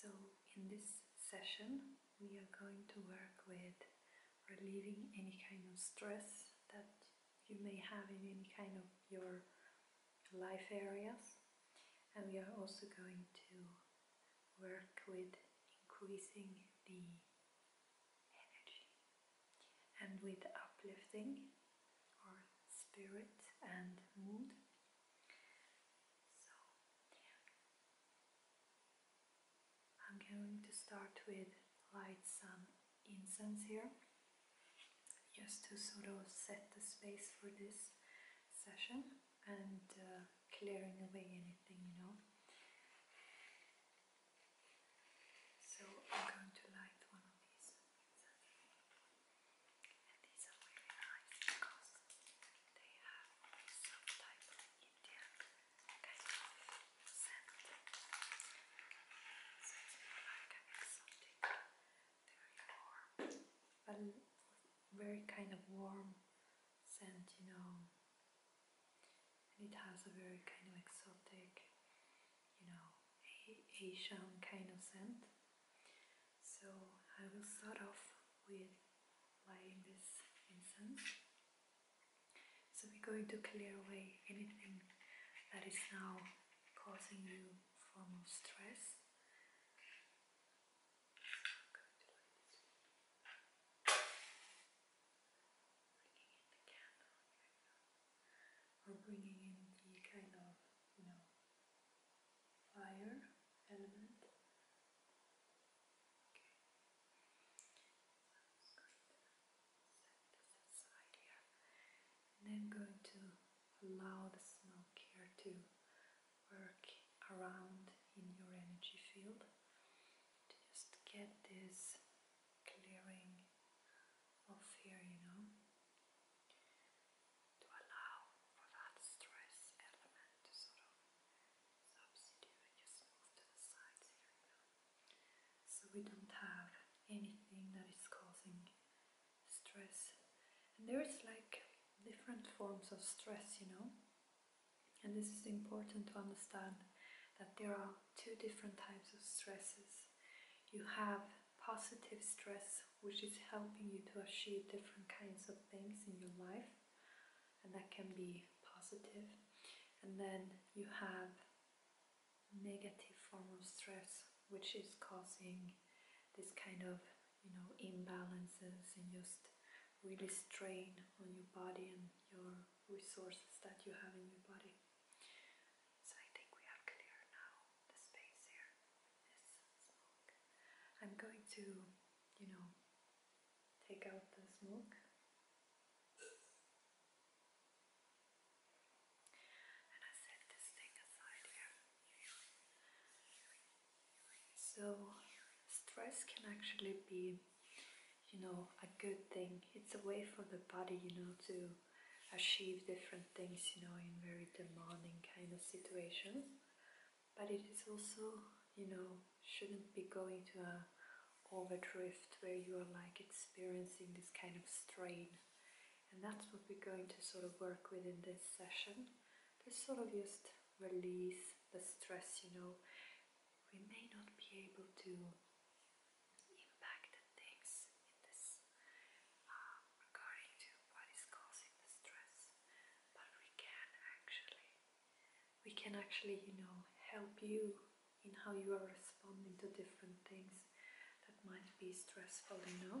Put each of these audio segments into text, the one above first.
So in this session we are going to work with relieving any kind of stress that you may have in any kind of your life areas and we are also going to work with increasing the energy and with uplifting spirit and mood. So I'm going to start with light some incense here just to sort of set the space for this session and uh, clearing away anything, you know. So I'm going to light one of these. And these are really nice because they have some type of Indian kind of scent. So it's more like an very kind of warm scent, you know, and it has a very kind of exotic, you know, a Asian kind of scent. So I will start off with lighting this incense. So we're going to clear away anything that is now causing you form of stress bringing in the candle, or bringing in the kind of, you know, fire element. Okay, and then going to allow the smoke here to work around in your energy field to just get this clearing of fear, you know, to allow for that stress element to sort of substitute and just move to the sides here, you know. So we don't have anything that is causing stress. And there is like different forms of stress, you know. And this is important to understand that there are two different types of stresses. You have positive stress, which is helping you to achieve different kinds of things in your life, and that can be positive. And then you have negative form of stress, which is causing this kind of you know imbalances and just really strain on your body and your resources that you have in your body. So I think we are clear now. The space here is smoke. I'm going to, you know, take out the smoke. And I set this thing aside here. So stress can actually be you know, a good thing. It's a way for the body, you know, to achieve different things, you know, in very demanding kind of situations. But it is also, you know, shouldn't be going to a overdrift where you are like experiencing this kind of strain. And that's what we're going to sort of work with in this session. To sort of just release the stress, you know, we may not be able to impact the things in this uh, regarding to what is causing the stress, but we can actually, we can actually, you know, help you in how you are responding to different things that might be stressful, you know.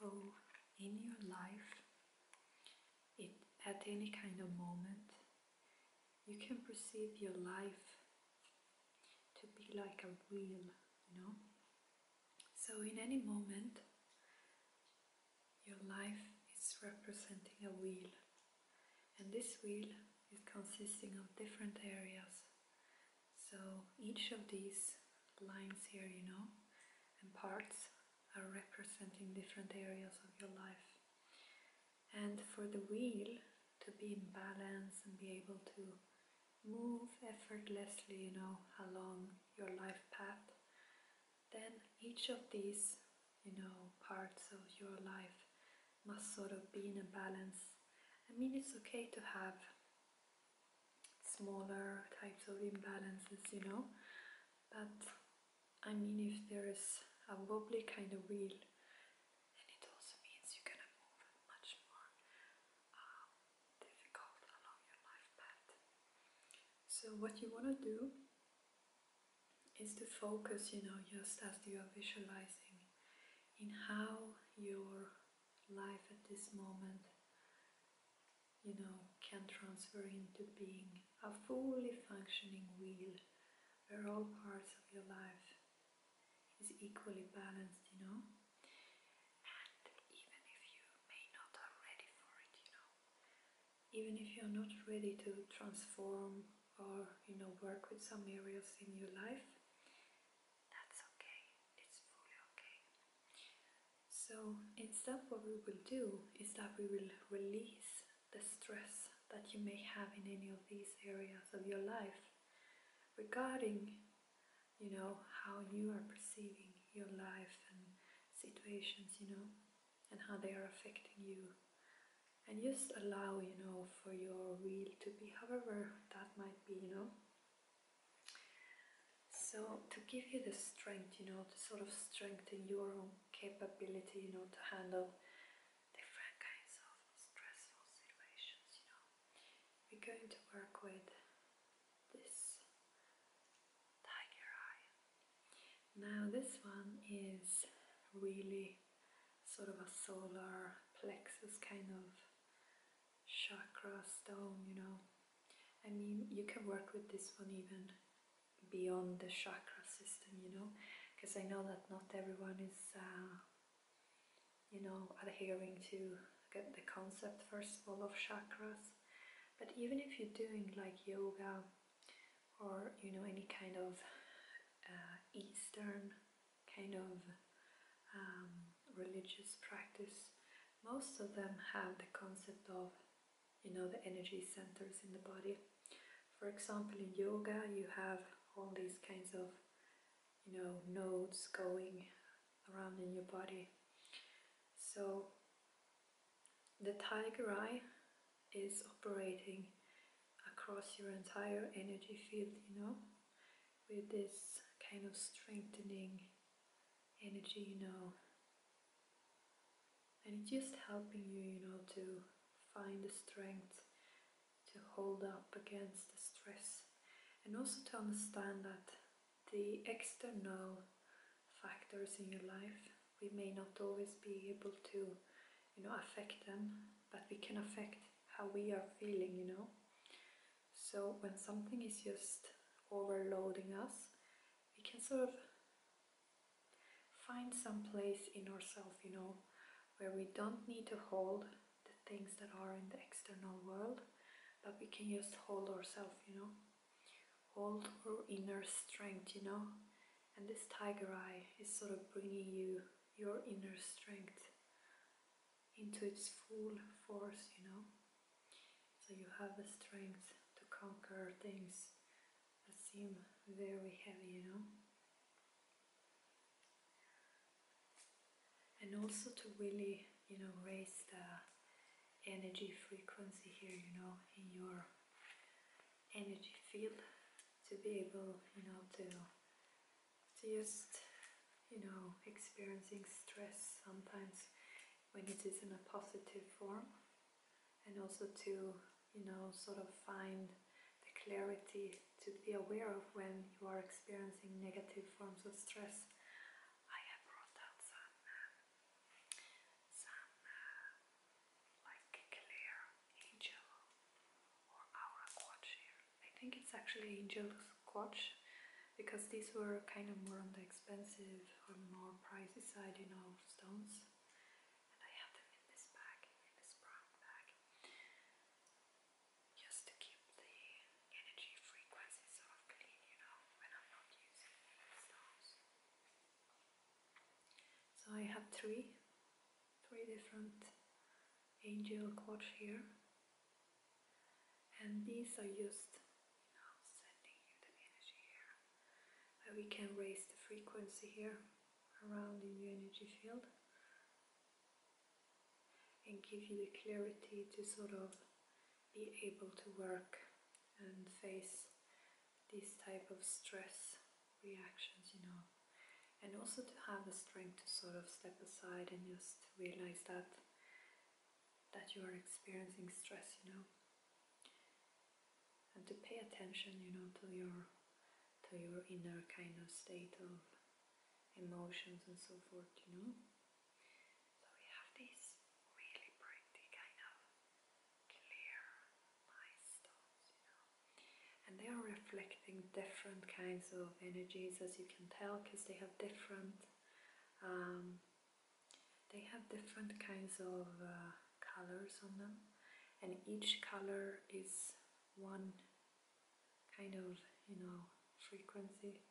So, in your life, at any kind of moment, you can perceive your life to be like a wheel, you know? So in any moment, your life is representing a wheel. And this wheel is consisting of different areas. So each of these lines here, you know, and parts are representing different areas of your life. And for the wheel to be in balance and be able to move effortlessly, you know, along your life path, then each of these, you know, parts of your life must sort of be in a balance. I mean, it's okay to have smaller types of imbalances, you know, but I mean, if there is a wobbly kind of wheel, and it also means you're gonna move much more um, so what you want to do is to focus, you know, just as you are visualizing in how your life at this moment, you know, can transfer into being a fully functioning wheel where all parts of your life is equally balanced, you know even if you are even if you're not ready to transform or, you know, work with some areas in your life, that's okay, it's fully okay. So instead what we will do is that we will release the stress that you may have in any of these areas of your life regarding you know, how you are perceiving your life and situations, you know, and how they are affecting you. And just allow, you know, for your will to be however that might be, you know. So to give you the strength, you know, to sort of strengthen your own capability, you know, to handle different kinds of stressful situations, you know. We're going to work with this tiger eye. Now this one is really sort of a solar plexus kind of chakra stone, you know. I mean, you can work with this one even beyond the chakra system, you know, because I know that not everyone is uh, you know, adhering to get the concept first of all of chakras. But even if you're doing like yoga or you know any kind of uh, Eastern kind of um, religious practice, most of them have the concept of you know the energy centers in the body. For example, in yoga, you have all these kinds of you know, nodes going around in your body. So the tiger eye is operating across your entire energy field, you know, with this kind of strengthening energy, you know. And it's just helping you, you know, to find the strength to hold up against the stress and also to understand that the external factors in your life we may not always be able to you know affect them but we can affect how we are feeling you know so when something is just overloading us we can sort of find some place in ourselves you know where we don't need to hold the things that are in the external world, but we can just hold ourselves, you know, hold our inner strength, you know. And this tiger eye is sort of bringing you your inner strength into its full force, you know. So you have the strength to conquer things that seem very heavy, you know and also to really you know raise the energy frequency here you know in your energy field to be able you know to to just you know experiencing stress sometimes when it is in a positive form and also to you know sort of find the clarity to be aware of when you are experiencing negative forms of stress. I have brought out some, uh, some uh, like clear angel or aura quartz here. I think it's actually angel quartz because these were kind of more on the expensive or more pricey side, you know, stones. And I have them in this bag, in this brown bag just to keep the energy frequencies of clean, you know, when I'm not using the stones. So I have three, three different angel quartz here, and these are used, you know, sending you the energy here. And we can raise the frequency here around in the energy field and give you the clarity to sort of be able to work and face these type of stress reactions, you know. And also to have the strength to sort of step aside and just realize that that you are experiencing stress, you know. And to pay attention, you know, to your to your inner kind of state of emotions and so forth, you know. So we have these really pretty kind of clear, nice you know. And they are reflecting different kinds of energies as you can tell because they have different um, they have different kinds of uh, colors on them and each color is one kind of, you know, frequency.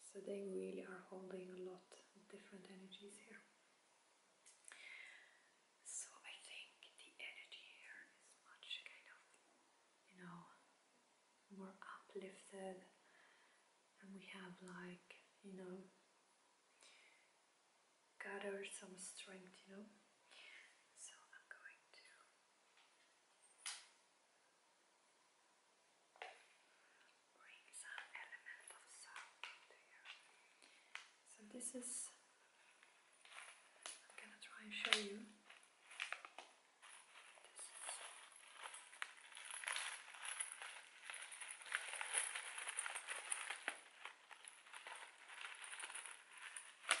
So they really are holding a lot of different energies here. So I think the energy here is much kind of, you know, more uplifted and we have like, you know, gathered some strength, you know. So I'm going to bring some element of sound into here. So this is I'm gonna try and show you. This is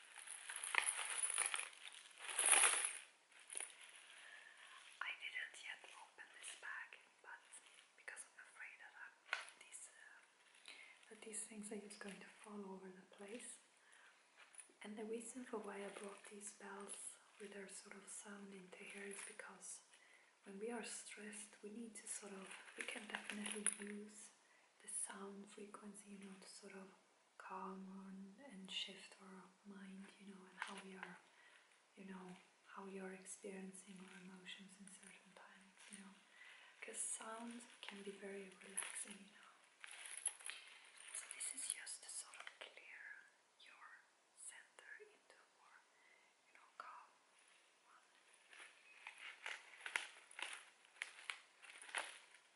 I didn't yet open this bag, but because I'm afraid that these uh, that these things are just going to fall over the place. And the reason for why I brought these bells with their sort of sound into here is because when we are stressed, we need to sort of we can definitely use the sound frequency, you know, to sort of calm and shift our mind, you know, and how we are, you know, how we are experiencing our emotions in certain times, you know. Because sound can be very relaxing, you know. So this is just sort of clear your center into more, you know, calm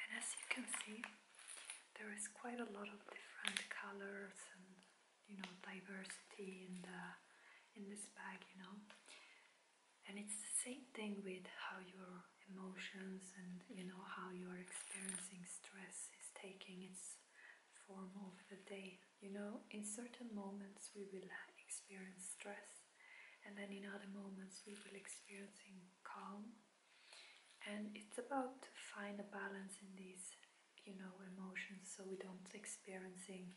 And as you can see, there is quite a lot of different colors and you know diversity in the in this bag, you know. And it's the same thing with how your emotions and you know how you are experiencing stress is taking its form over the day. You know, in certain moments we will experience stress and then in other moments we will experiencing calm and it's about to find a balance in these you know emotions so we don't experiencing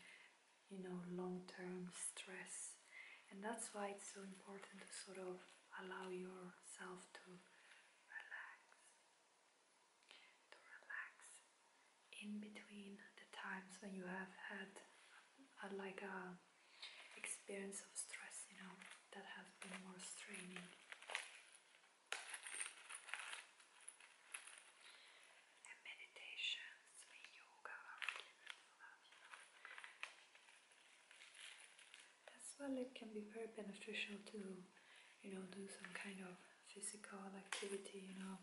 you know long-term stress and that's why it's so important to sort of allow yourself to relax to relax in between the times when you have had uh, like a um, experience of stress, you know, that has been more straining. And meditations, me yoga, as well it can be very beneficial to, you know, do some kind of physical activity, you know,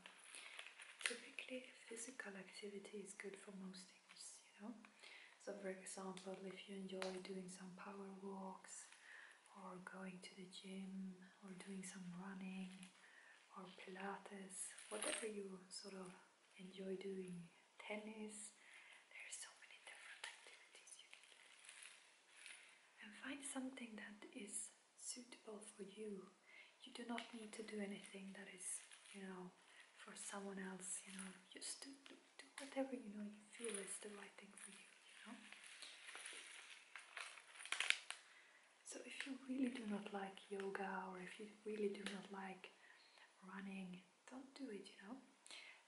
Typically, physical activity is good for most things, you know. So, for example, if you enjoy doing some power walks, or going to the gym, or doing some running, or Pilates, whatever you sort of enjoy doing, tennis, there are so many different activities you can do. And find something that is suitable for you you do not need to do anything that is, you know, for someone else, you know, just do, do, do whatever you know you feel is the right thing for you, you know. So if you really do not like yoga or if you really do not like running, don't do it, you know.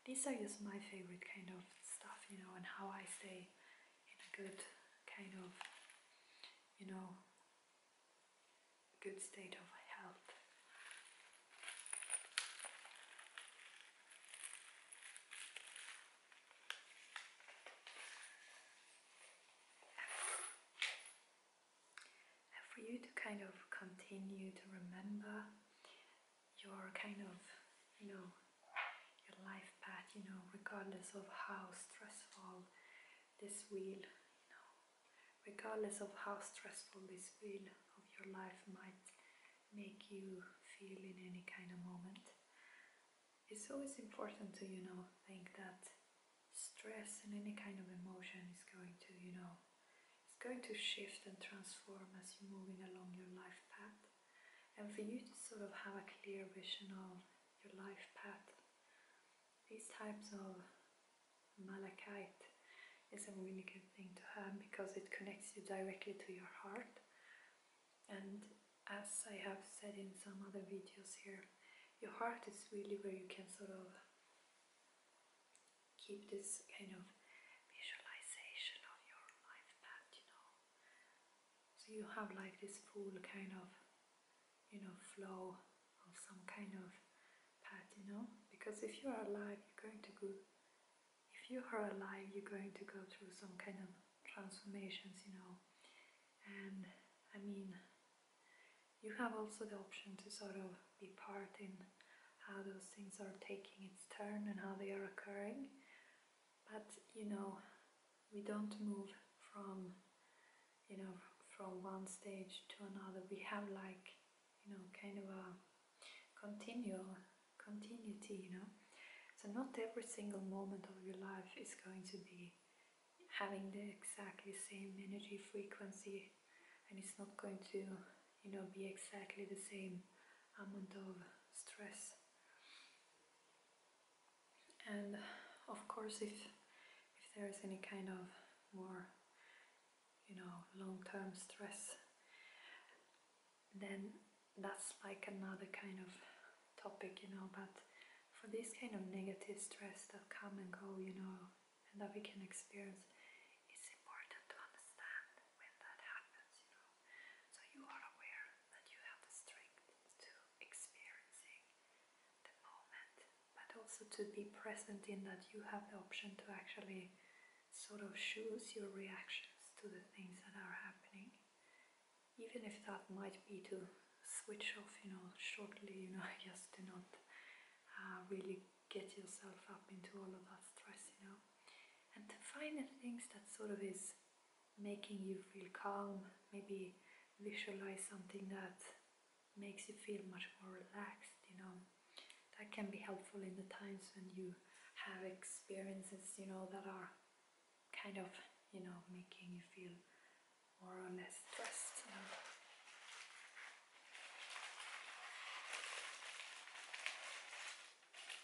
These are just my favorite kind of stuff, you know, and how I stay in a good kind of, you know, good state of health. And for you to kind of continue to remember your kind of, you know, your life path, you know, regardless of how stressful this wheel, you regardless of how stressful this wheel of your life might make you feel in any kind of moment. It's always important to, you know, think that stress and any kind of emotion is going to, you know, it's going to shift and transform as you're moving along your life path. And for you to sort of have a clear vision of your life path these types of malachite is a really good thing to have because it connects you directly to your heart. And as I have said in some other videos here, your heart is really where you can sort of keep this kind of visualization of your life path, you know, so you have like this full kind of, you know, flow of some kind of path, you know? Because if you are alive, you're going to go, if you are alive, you're going to go through some kind of transformations, you know? And I mean, you have also the option to sort of be part in how those things are taking its turn and how they are occurring. But you know, we don't move from you know from one stage to another we have like you know kind of a continual continuity you know so not every single moment of your life is going to be having the exactly same energy frequency and it's not going to you know be exactly the same amount of stress and of course if if there is any kind of more you know long-term stress then that's like another kind of topic you know but for this kind of negative stress that come and go you know and that we can experience it's important to understand when that happens you know so you are aware that you have the strength to experiencing the moment, but also to be present in that you have the option to actually sort of choose your reactions to the things that are happening, even if that might be to switch off, you know, shortly, you know, just to not uh, really get yourself up into all of that stress, you know, and to find the things that sort of is making you feel calm, maybe visualize something that makes you feel much more relaxed, you know. That can be helpful in the times when you have experiences, you know, that are kind of, you know, making you feel more or less stressed,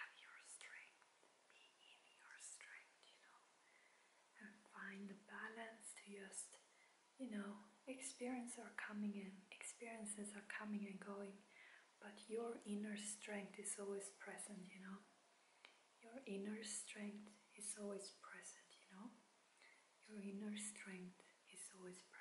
have your strength, be in your strength, you know, and find the balance to just, you know, experiences are coming and experiences are coming and going, but your inner strength is always present, you know. Your inner strength is always present, you know. Your inner strength is always present.